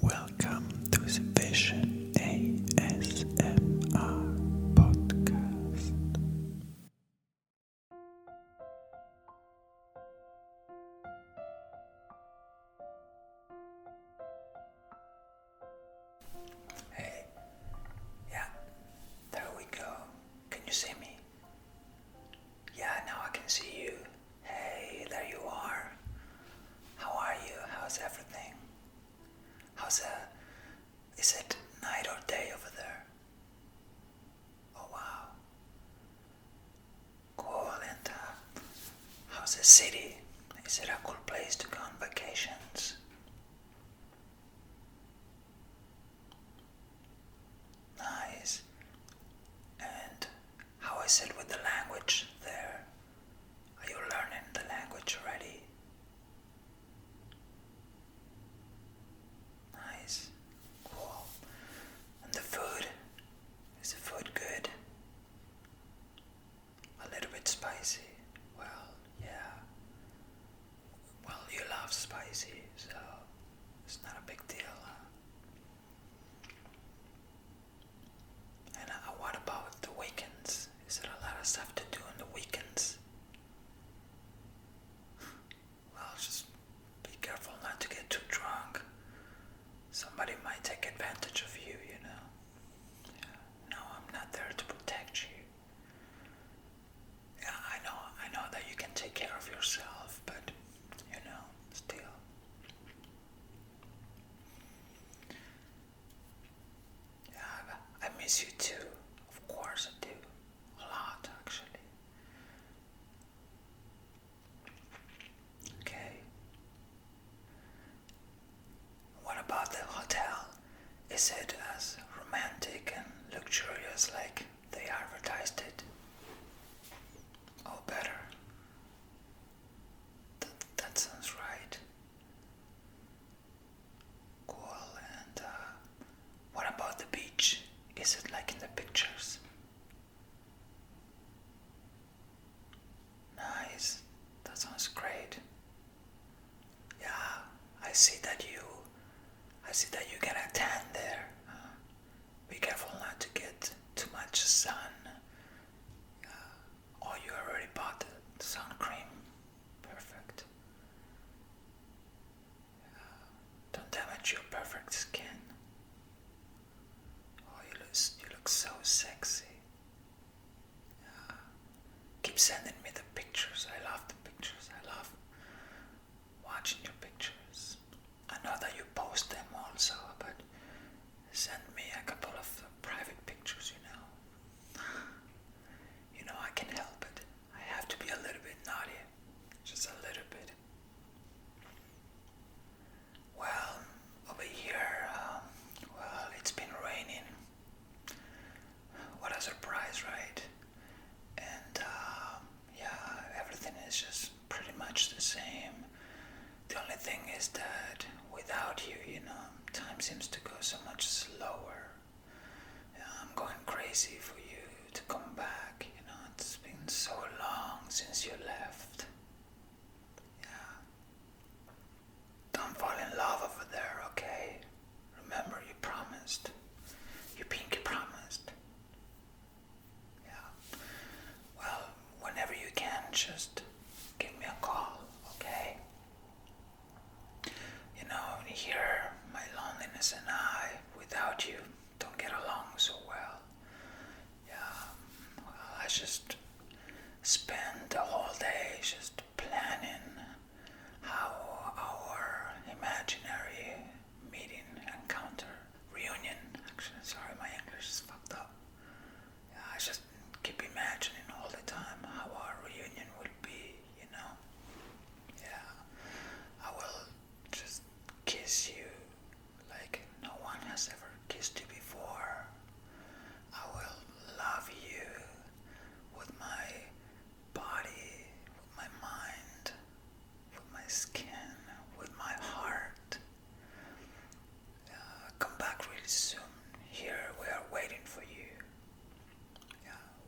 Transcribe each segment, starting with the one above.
Welcome to the Vision ASMR podcast. Hey, yeah, there we go. Can you see me? Yeah, now I can see you. Hey, there you are. How are you? How's everything? How's a. Uh, is it night or day over there? Oh, wow. Cool, and uh, how's the city? Is it a cool place to go on vacations? Nice. And how is it with the language there? Are you learning the language already? Nice. Cool. And the food? Is the food good? A little bit spicy. Well, yeah. Well, you love spicy, so it's not a big deal. And uh, what about the weekends? Is there a lot of stuff to do on the weekends? Well, just be careful not to get too drunk. Somebody might take advantage of you, you know. No, I'm not there to protect you. Yeah, I know, I know that you can take care of yourself, but you know, still. I miss you too. Of course I do. A lot, actually. Okay. What about the hotel? Is it as romantic and luxurious like they advertised it? Or oh, better? That, that sounds right. Cool, and uh, what about the beach? Is it like in the pictures? Nice, that sounds great. Yeah, I see that you, I see that you get a tan there. Uh, be careful not to get too much sun, uh, or you already bought the sun cream. Perfect. Uh, don't damage your perfect skin. Oh, you look, so sexy. Uh, keep sending me the pictures. I love the pictures. I love watching your pictures. I know that you post them also, but send me a couple of private pictures, you know. You know, I can help it. I have to be a little bit naughty. Just a little bit. Well, over here, um, well, it's been raining. What a surprise, right? And uh, yeah, everything is just pretty much the same. The only thing is that without you, you know, time seems to go so much slower. I'm going crazy for you to come back, you know, it's been so long since you left. Yeah. Don't fall in love over there, okay? Remember, you promised. You pinky promised. Yeah. Well, whenever you can, just give me a call, okay? You know, here, my loneliness and I, without you, don't get along so well. Yeah, well, I just spend the whole day just planning how our imaginary meeting encounter reunion. Actually, sorry, my English is fucked up. Yeah, I just keep imagining all the time how our reunion would be. You know? Yeah, I will just kiss you like no one has ever kissed you before. I will love you with my body, with my mind, with my skin, with my heart. Uh, come back really soon. Here we are waiting for you.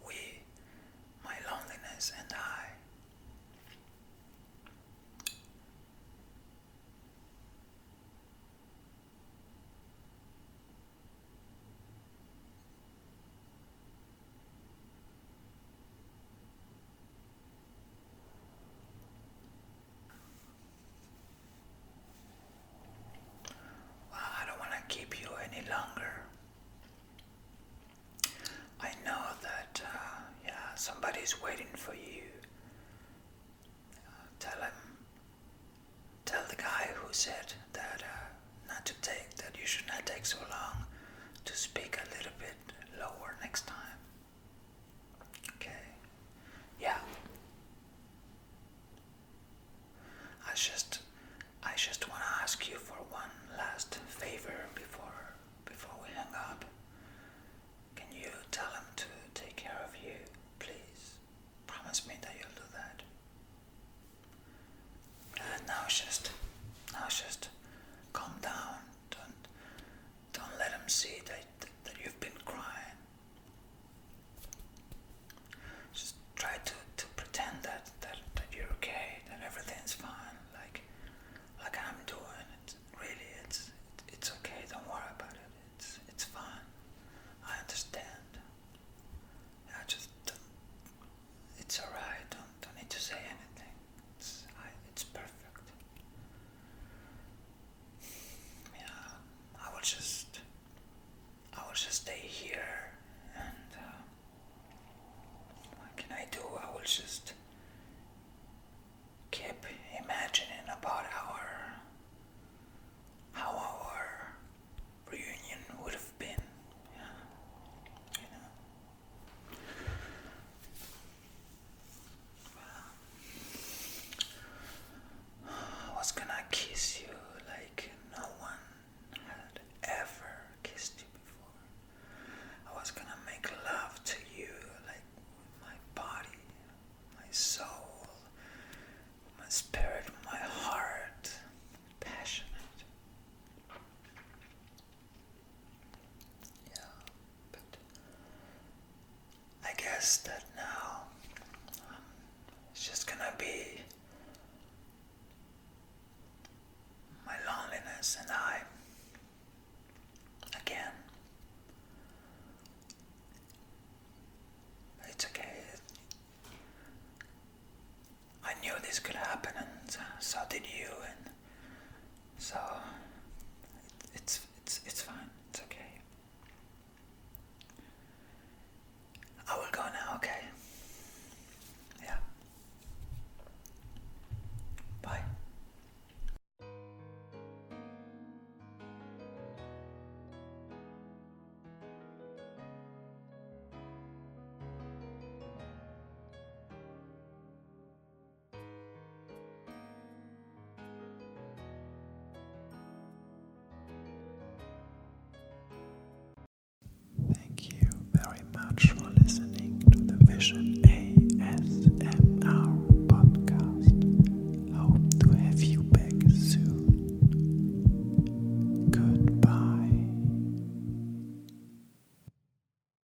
we, my loneliness and I. I don't want to keep you any longer. I know that, uh, yeah, somebody's waiting for you. Uh, tell him, tell the guy who said that uh, not to take, that you should not take so long to speak a little bit lower next time. Okay. Yeah. I just I just wanna ask you for one last favor before before we hang up. Can you tell him to take care of you, please? Promise me that you'll do that. Uh, now just now just calm down. do don't let them see that, that you've been crying. Just try to, to pretend that, that, that you're okay, that everything's fine, like like I'm doing. It's, really, it's it's okay. Don't worry about it. It's it's fine. I understand. I just it's alright. Don't need to say anything. It's, I, it's perfect. Yeah, I will just, I will just stay here, and uh, what can I do? I will just keep imagining about our, how our reunion would have been. Yeah. You know. I was gonna kiss you like no one had ever kissed you before. I was gonna make love to you like with my body, my soul, my spirit, my heart, passionate. Yeah, but I guess that now um, it's just gonna be my loneliness and I again. It's okay. I knew this could happen, and so did you. And so it's it's it's fine. It's okay. I will go now. Okay. Yeah. Bye. Thank you very much for listening to the Vision ASMR podcast. Hope to have you back soon. Goodbye.